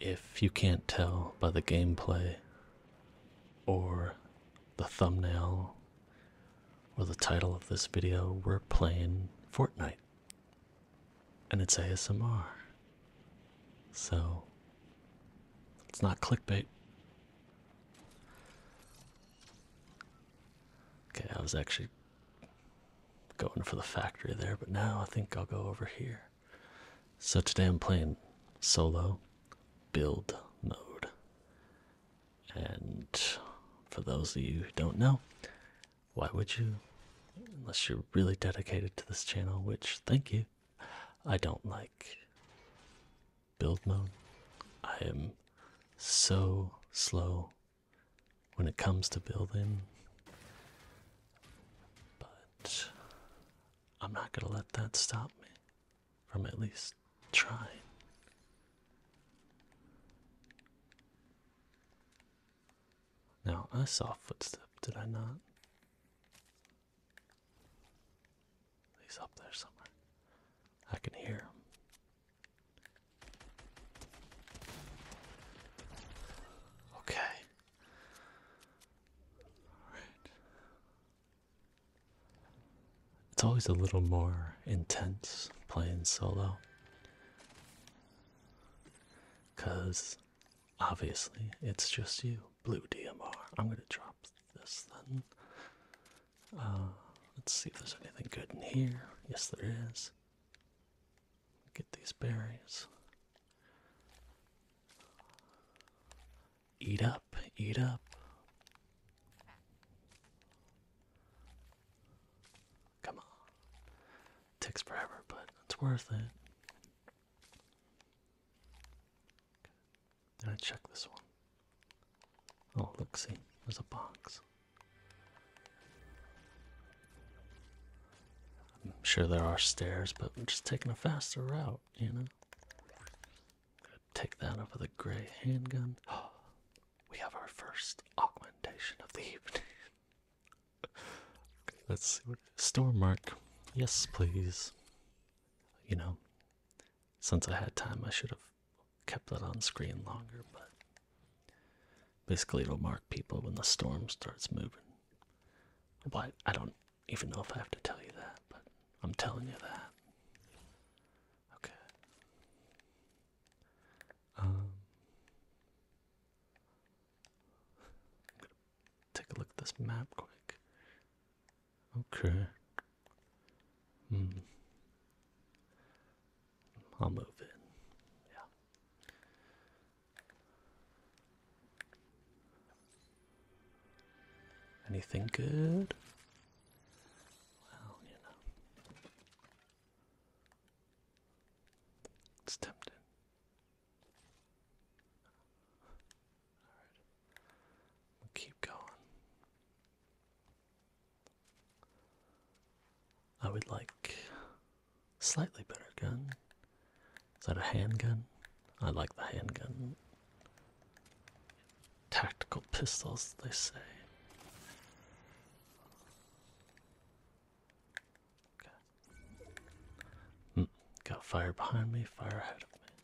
If you can't tell by the gameplay, or the thumbnail, or the title of this video, we're playing Fortnite. And it's ASMR. So, it's not clickbait. Okay, I was actually Going for the factory there, but now I think I'll go over here. So today I'm playing solo build mode. And for those of you who don't know, why would you? Unless you're really dedicated to this channel, which, thank you, I don't like build mode. I am so slow when it comes to building. But I'm not going to let that stop me from at least trying. Now, I saw a footstep, did I not? He's up there somewhere. I can hear him. Okay. It's always a little more intense playing solo. Because obviously it's just you. Blue DMR. I'm going to drop this then. Uh, let's see if there's anything good in here. Yes, there is. Get these berries. Eat up, eat up. Come on. Takes forever, but it's worth it. Did I check this one? Oh, look, see, there's a box. I'm sure there are stairs, but I'm just taking a faster route, you know? Take that over the gray handgun. we have our first augmentation of the evening. let's see what store mark. Yes, please. You know, since I had time, I should have kept that on screen longer, but basically it'll mark people when the storm starts moving. But I don't even know if I have to tell you that, but I'm telling you that. Okay. Um, take a look this map quick. Okay. Hmm. I'll move in. Yeah. Anything good? Well, you know. It's tempting. All right. We'll keep going. I would like slightly better gun. Is that a handgun? I like the handgun. Tactical pistols, they say. Okay. Hmm. got fire behind me, fire ahead of me.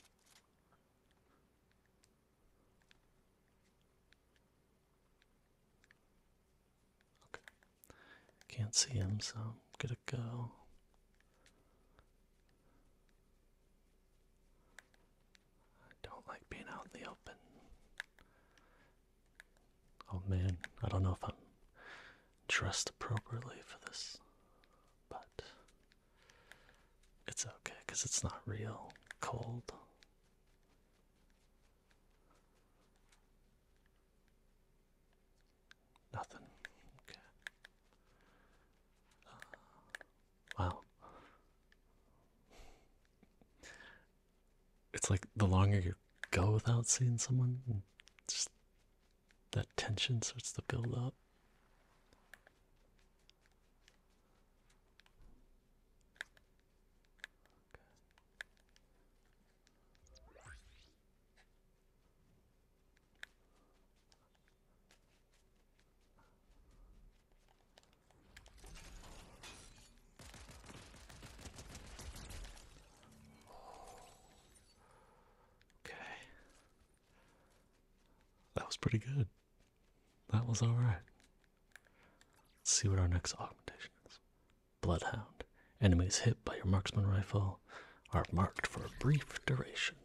Okay. Can't see him, so I'm gonna go. I don't like being out in the open. Oh man, I don't know if I'm dressed appropriately for this, but it's okay because it's not real cold. Nothing. Okay. wow. It's like the longer you go without seeing someone, just that tension starts to build up. Okay. Okay. That was pretty good. That was alright. Let's see what our next augmentation is. Bloodhound. Enemies hit by your marksman rifle are marked for a brief duration.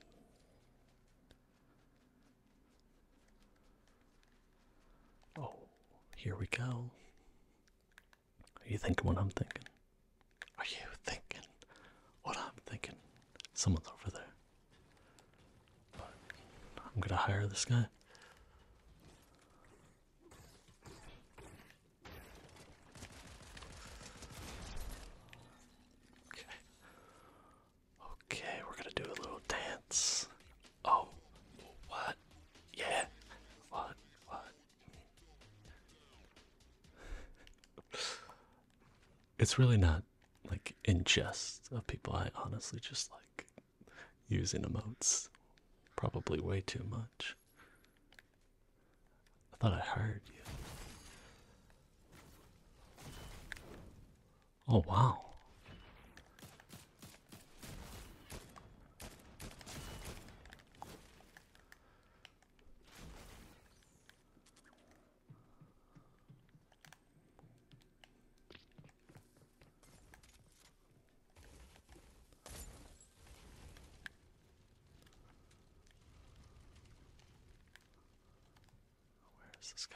Oh, here we go. Are you thinking what I'm thinking? Are you thinking what I'm thinking? Someone's over there. I'm gonna hire this guy. Okay. Okay, we're gonna do a little dance. Oh, what? Yeah. What? What? It's really not like in jest of people. I honestly just like using emotes probably way too much. I thought I heard you. Oh, wow. Where's this guy?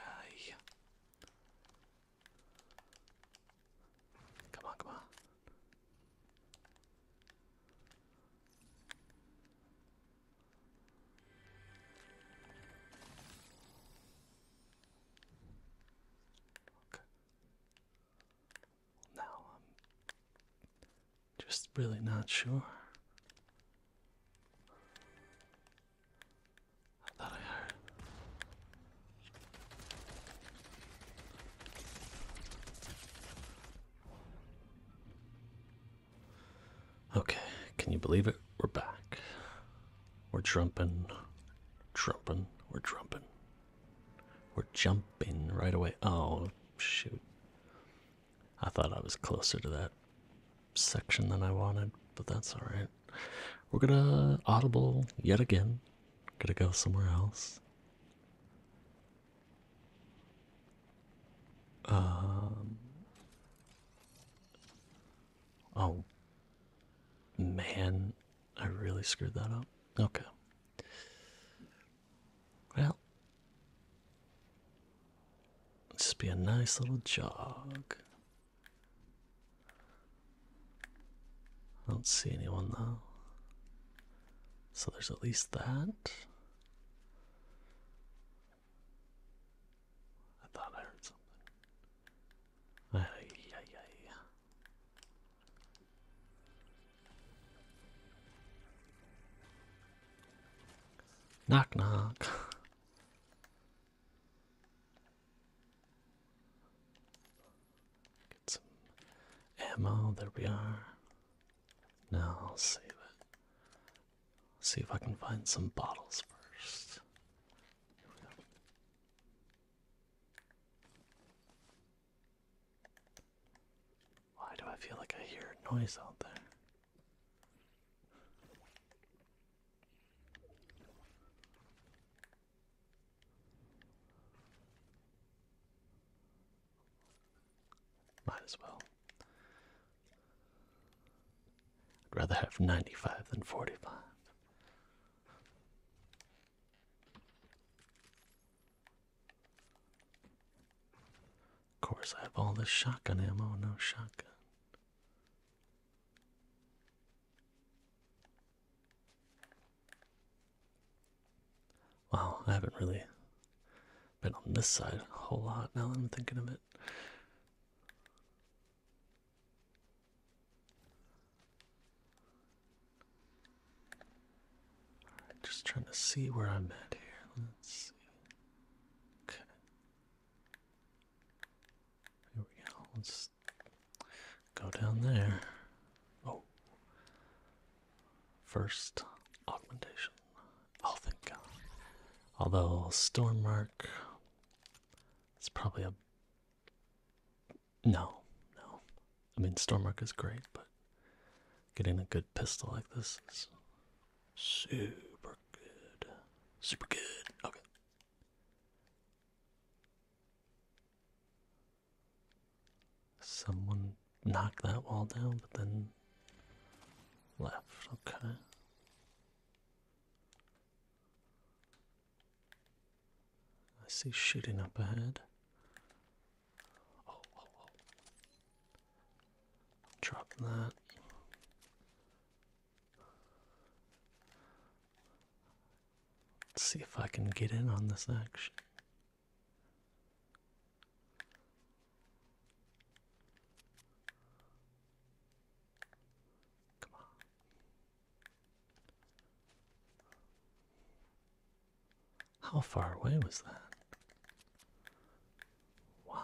Come on, come on. Okay. now I'm just really not sure. I thought I heard. Okay, can you believe it? We're back. We're trumping, trumping, we're trumping. We're jumping right away. Oh, shoot. I thought I was closer to that section than I wanted, but that's alright. We're gonna audible yet again. Gonna go somewhere else. Um, Oh man, I really screwed that up. Okay. Well, just be a nice little jog. I don't see anyone though. So there's at least that. I thought I heard something. Ay, ay, ay. Knock, knock. Get some ammo. There we are. Now I'll save it. See if I can find some bottles first. Why do I feel like I hear a noise out there? Might as well. I'd rather have 95 than 45. Of course, I have all this shotgun ammo, no shotgun. Wow, I haven't really been on this side a whole lot now that I'm thinking of it. Alright, just trying to see where I'm at here. Let's see. Okay. Here we go. Let's go down there. Oh. First augmentation. Oh, thank God. Although Stormmark it's probably a. No, no. I mean, Stormark is great, but getting a good pistol like this is super good. Super good. Okay. Someone knocked that wall down, but then left. Okay. I see shooting up ahead. Drop that. see if I can get in on this action. Come on. How far away was that? Wow.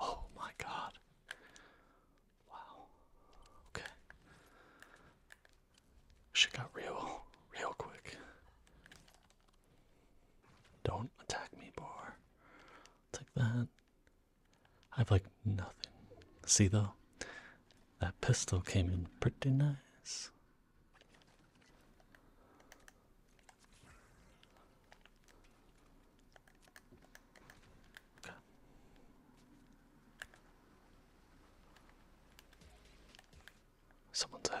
Oh, my God. Wow. Okay. Shit got real, real quick. Don't attack me, Bar. Take that. I have like nothing. See though, that pistol came in pretty nice. Okay. Someone's head.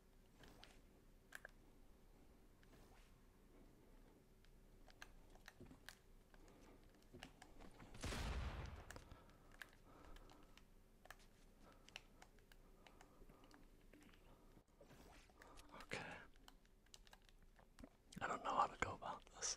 Okay. I don't know how to go about this.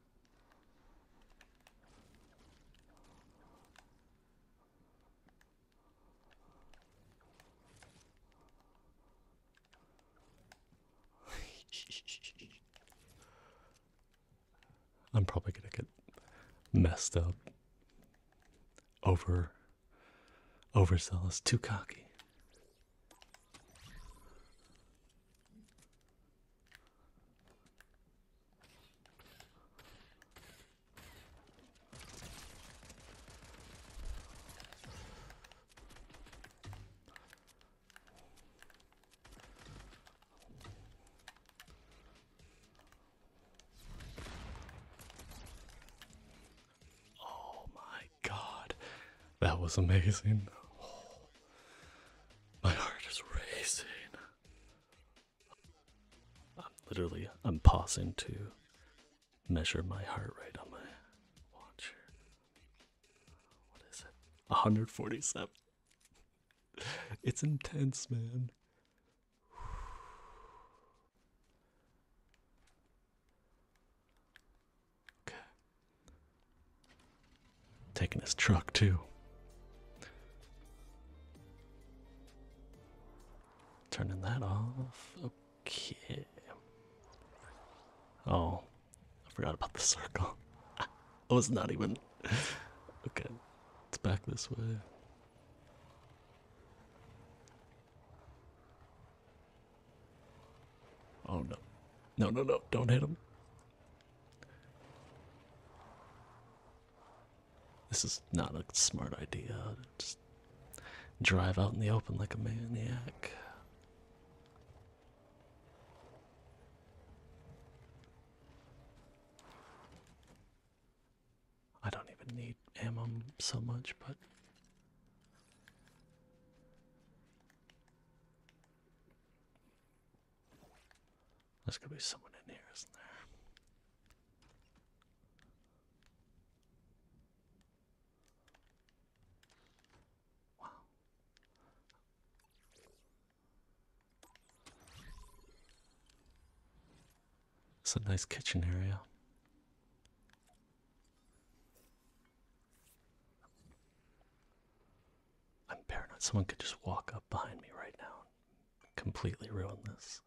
I'm probably going to get messed up. Over. Overzealous. Too cocky. Oh my god, that was amazing. My heart is racing. I'm literally, I'm pausing to measure my heart rate on my watch What is it? 147. It's intense, man. Okay. Taking his truck too. Turning that off. Okay. Oh, I forgot about the circle. I was not even. Okay, it's back this way. Oh no. No, no, no, don't hit him. This is not a smart idea. Just drive out in the open like a maniac. I don't even need ammo so much, but. There's gonna be someone in here, isn't there? Wow. It's a nice kitchen area. I'm paranoid. Someone could just walk up behind me right now and completely ruin this.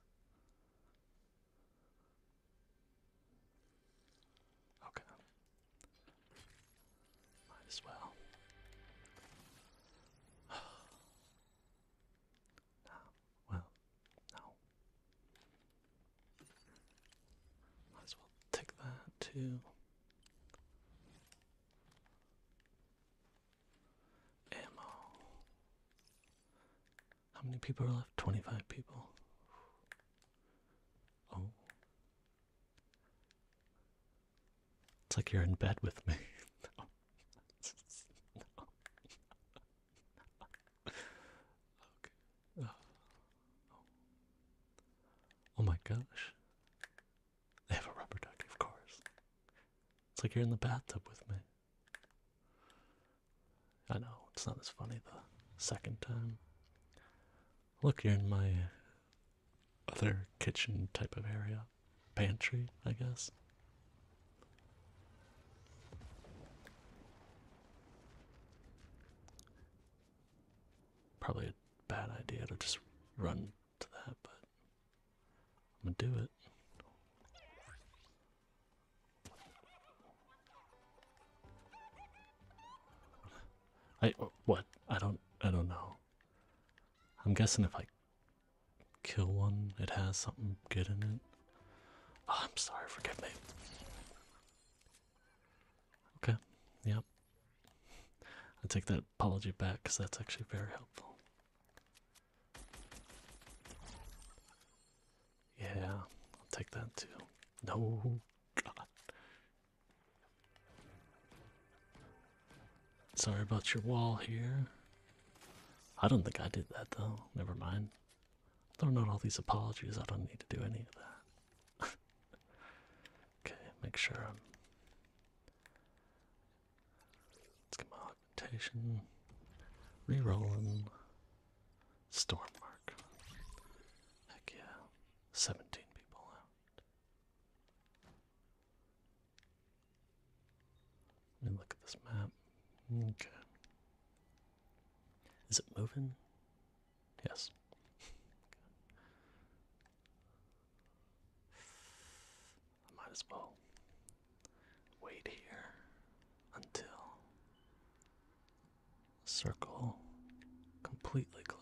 Okay. Might as well. Ah, well, no. Might as well take that too. Ammo. How many people are left? 25 people. Oh. It's like you're in bed with me. Oh. Oh. oh my gosh. They have a rubber ducky, of course. It's like you're in the bathtub with me. I know, it's not as funny the second time. Look, you're in my other kitchen type of area. Pantry, I guess. Probably bad idea to just run to that, but I'm gonna do it. I uh, what? I don't I don't know. I'm guessing if I kill one, it has something good in it. Oh, I'm sorry, forgive me. Okay, yep. I take that apology back because that's actually very helpful. Yeah, I'll take that too. No, Sorry about your wall here. I don't think I did that though. Never mind. Throwing out all these apologies, I don't need to do any of that. Okay, make sure I'm. Let's get my augmentation. Rerolling. Storm mark. Heck yeah. 17 people out. Let me look at this map. Okay. Is it moving? Yes. I might as well wait here until the circle completely closes.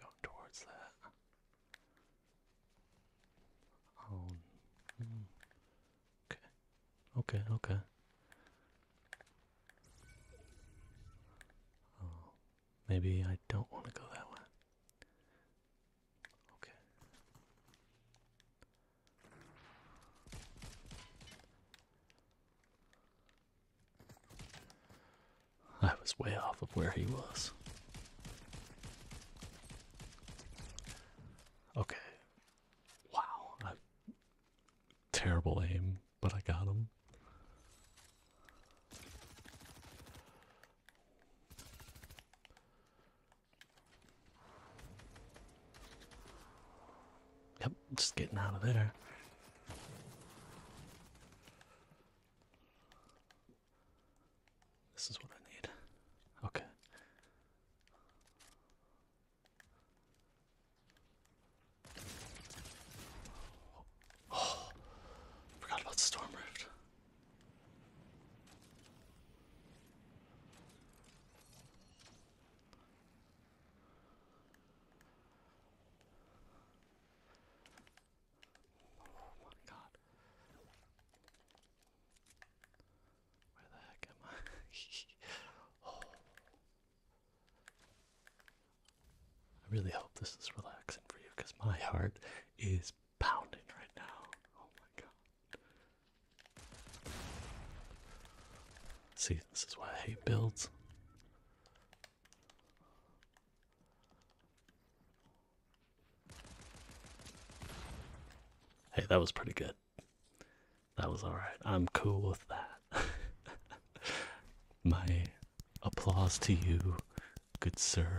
Alright. towards that. Oh. Okay. Okay, okay. Oh, maybe I don't want to go that way. Okay. I was way off of where he was. Okay. Wow. terrible aim, but I got him. Yep, just getting out of there. This is what I need. Okay. Oh, forgot about the Oh my god. Where the heck am I? Oh. I really hope this is relaxing for you because my heart is pounding right now. Oh my god. See, this is why I hate builds. Hey, that was pretty good. That was alright. I'm cool with that. My applause to you, good sir.